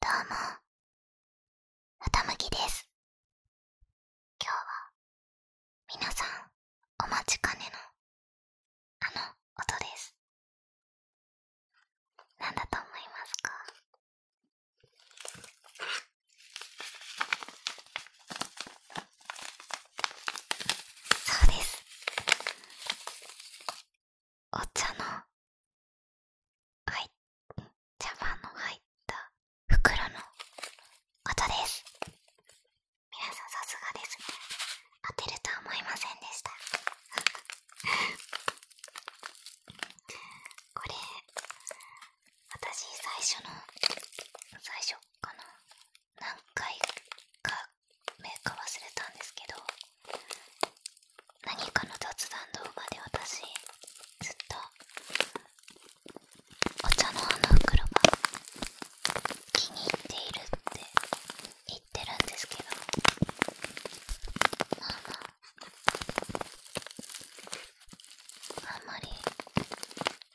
どうも、歌むきです。今日は、皆さんお待ちかねの、あの音です。なんだと思いますかそうです。お茶のはい茶葉の入った袋の音です皆さんさすがです当てると思いませんでした これ私最初の最初かな何回かメーカー忘れたんですけど何かの雑談動画で私ずっとお茶のあの袋が気に入っているって言ってるんですけどまあまああんまり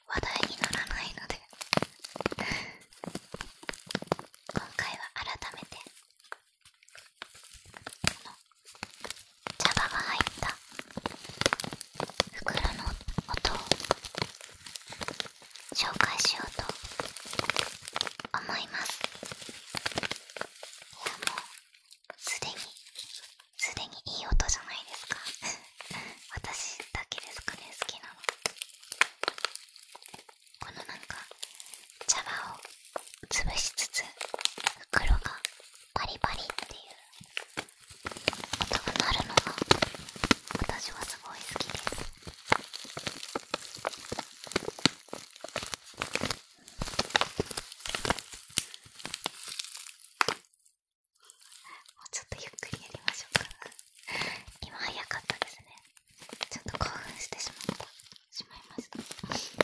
話題にならないので 今回は改めて茶葉が入った袋の音を紹介しようと思いますいやもうすでにすでにいい音じゃないですか 私だけですかね好きなのこのなんか茶葉を潰しつつ袋がパリパリっていう音になるのが私はすごい好きですもうちょっとゆっくりやりましょうか 今早かったですねちょっと興奮してしまいました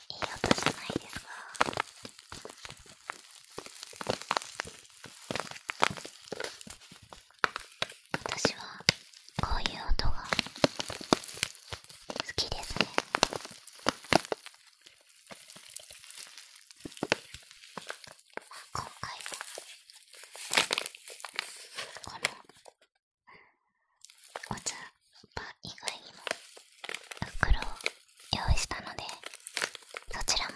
いい音じゃないですか私はこういう音が好きですねまあ今回は。このお茶パン以外にも袋を用意したのでそちらも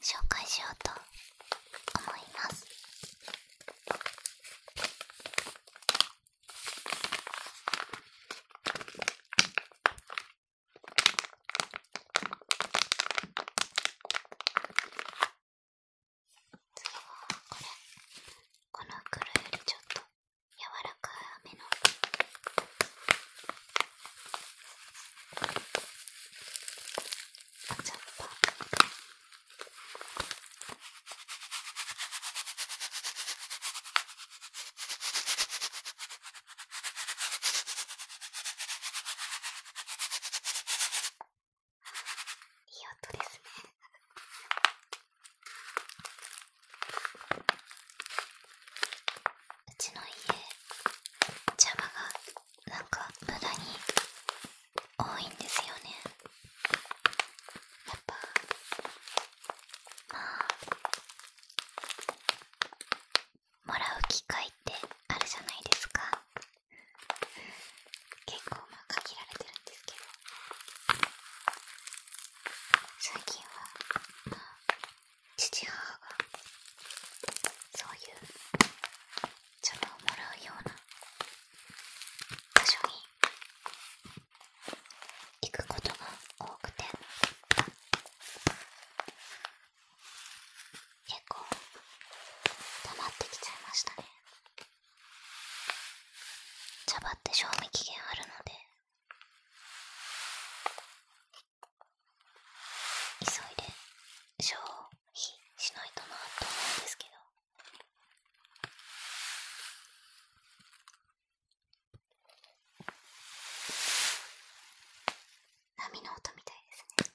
紹介しようと思います次はこれこの黒よりちょっと柔らかめのおっ葉いい音ですね。うちの家邪魔がなんか無駄に多いんですよねやっぱまあもらう機会ってあるじゃないですか結構まあ限られてるんですけど最近はまあ父母がそういうチョをもらうような場所に行くことが多くて結構溜まってきちゃいましたね。茶葉って賞味期限あるので急いで消費しないとなと思うんですけど波の音みたいですね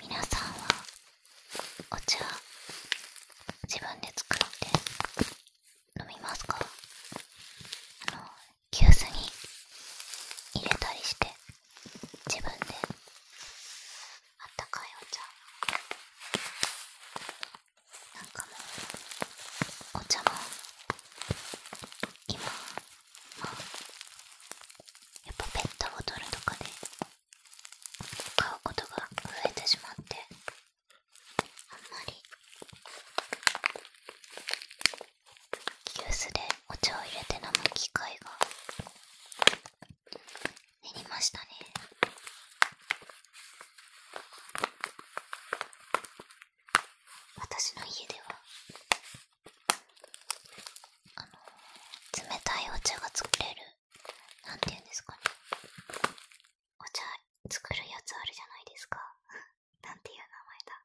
皆さんはお茶自分で作って飲みますかあの急須に入れたりして自分であったかいお茶なんかもうお茶も今まあやっぱペットボトルとかで買うことが増えてしまってあんまり急須でお茶を入れて飲む機会が減りましたね私の家ではあの冷たいお茶が作れるなんていうんですかねお茶作るやつあるじゃないですかなんていう名前だ。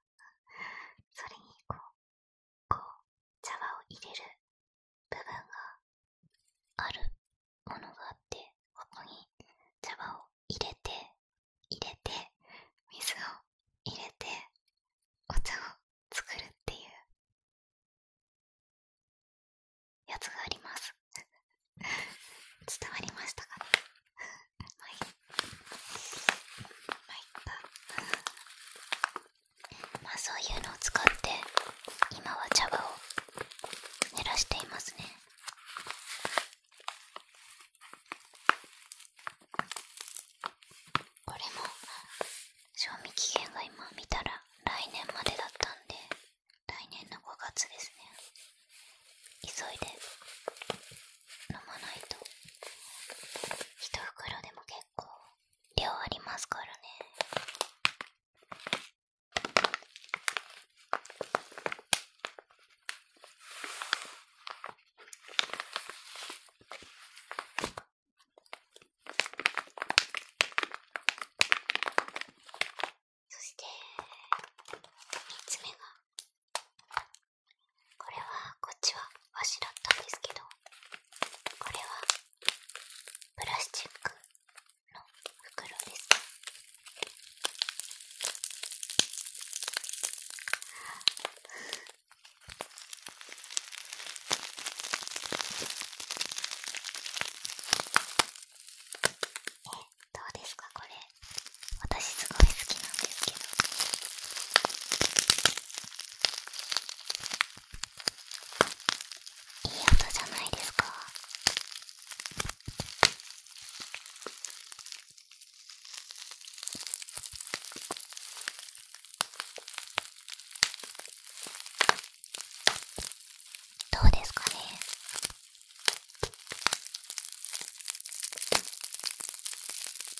それにこう、こう、茶葉を入れる部分があるものがあって、ここに茶葉を入れて、入れて、水を入れて、お茶を作るっていうやつがあります 伝わりましたかいまあそういうのを使って今は茶葉を減らしていますねこれも賞味期限が今見たら来年までだったんで来年の5月ですね急いで飲まないと一袋でも結構量ありますからねそして3つ目がこれはこっちはわしだったんですけどこれはプラスチックの袋ですえどうですかこれ私すごい好きなんですけどいい音じゃないですかどうですかね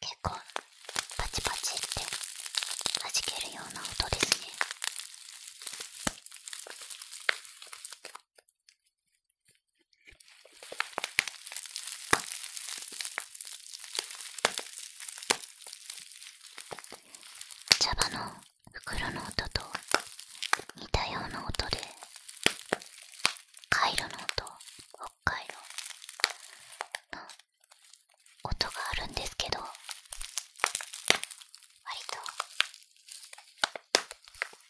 結構パチパチって弾けるような音ですね茶葉の袋の音と似たような音でカイロの音北海道の音があるんですけど割と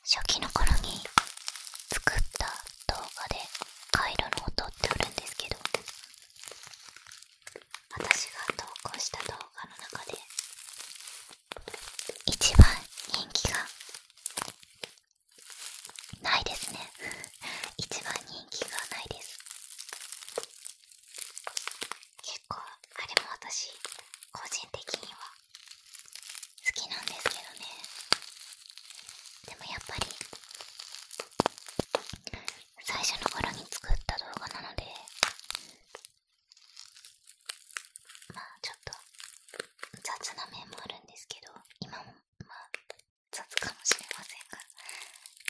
初期の頃に作った動画でカイロの音ってあるんですけど私が投稿した動画の中で一番人気がないですね一番人気がないです結構あれも私個人的には好きなんですけどねでもやっぱり最初の頃に作った動画なのでまあちょっと雑な面もあるんですけど今もまあ雑かもしれませんが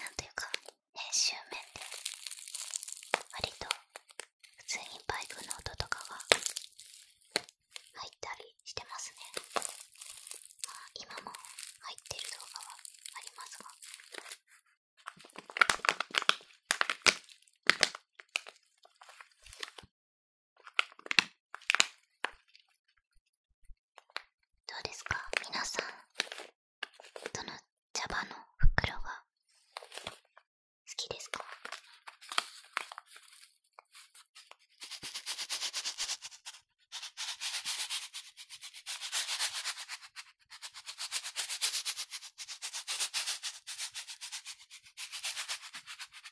なんというか編集面で割と普通にバイクの音とかが入ったりしてますねまあ今も入ってる動画はありますがどうですか皆さんどの茶葉の袋が好きですか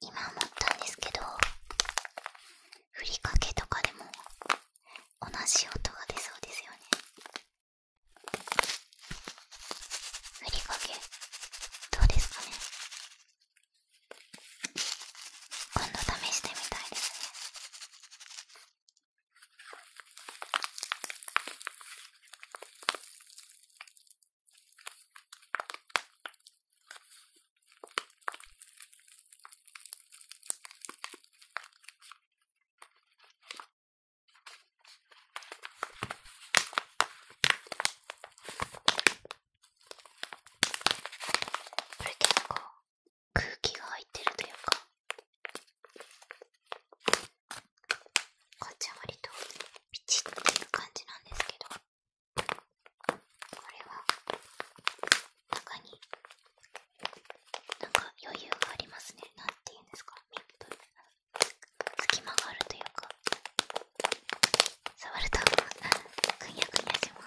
今思ったんですけどふりかけとかでも同じ音が出そうですよねふりかけどうですかね今度試してみたいですねこれ結構空気が入ってるというかこっちは割とピチッっていう感じなんですけどこれは中になんか余裕がありますねなんて言うんですかミップ隙間があるというか触るとくにゃくにゃします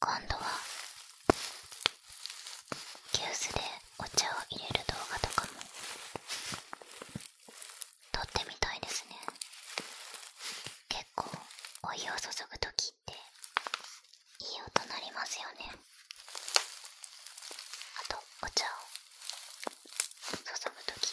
今度は急須でお茶を入れる動画とかも撮ってみたいですね結構お湯を注ぐ時っていい音鳴りますよねあとお茶を注ぐとき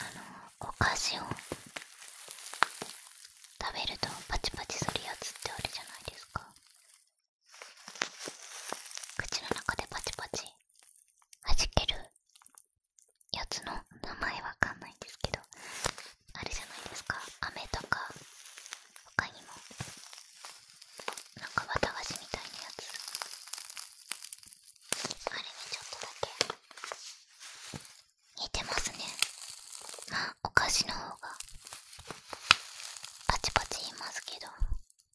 あのお菓子を食べるとパチパチするやつってあるじゃないですか口の中でパチパチ弾けるやつの名前わかんないんですけどあれじゃないですか飴とか他にもなんか綿菓子みたいなやつあれにちょっとだけ似てますねお菓子の方がパチパチ言いますけど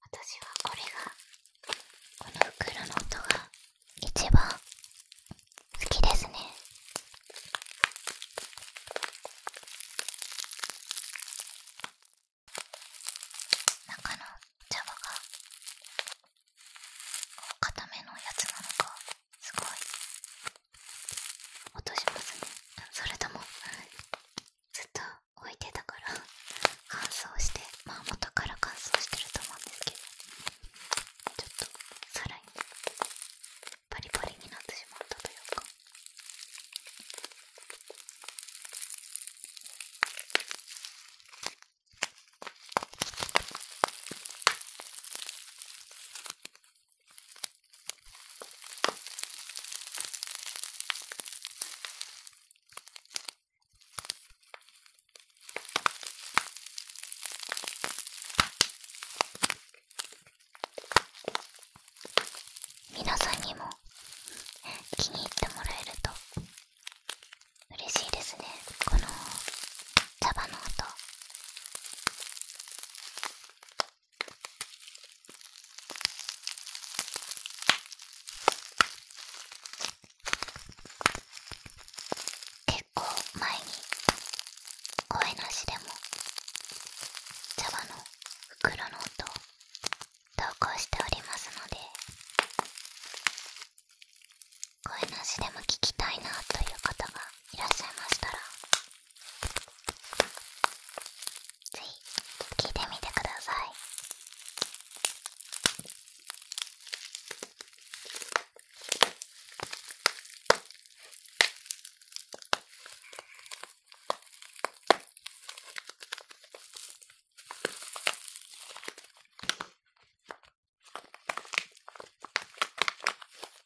私はこれがこの袋の音が一番好きですね中の茶葉が固めのやつなのかすごい落としますねそれとも、ずっと置いてたから乾燥してまあ元から乾燥してると思うんですけどちょっとさらにパリパリになってしまったというか。皆さんにも気に入ってもらえると嬉しいですねこの茶葉の音結構前に声なしでも茶葉の袋の音投稿しておりますので声なしでも聞きたいなという方がいらっしゃいましたらぜひ聴いてみてください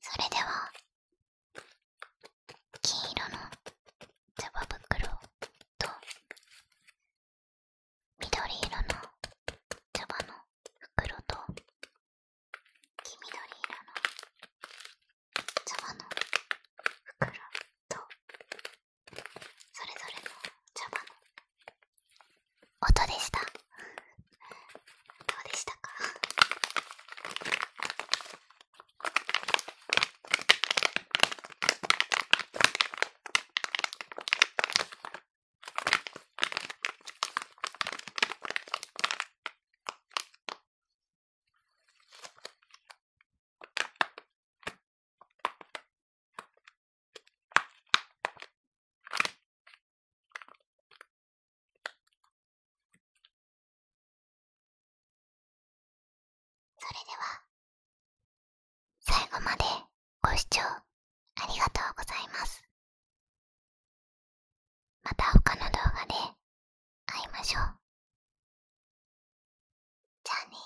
それでは金色のつば袋と緑色のつばの袋と黄緑色のつばの袋とそれぞれの茶葉の音でした。どうでしたかそれでは最後までご視聴ありがとうございますまた他の動画で会いましょうじゃあね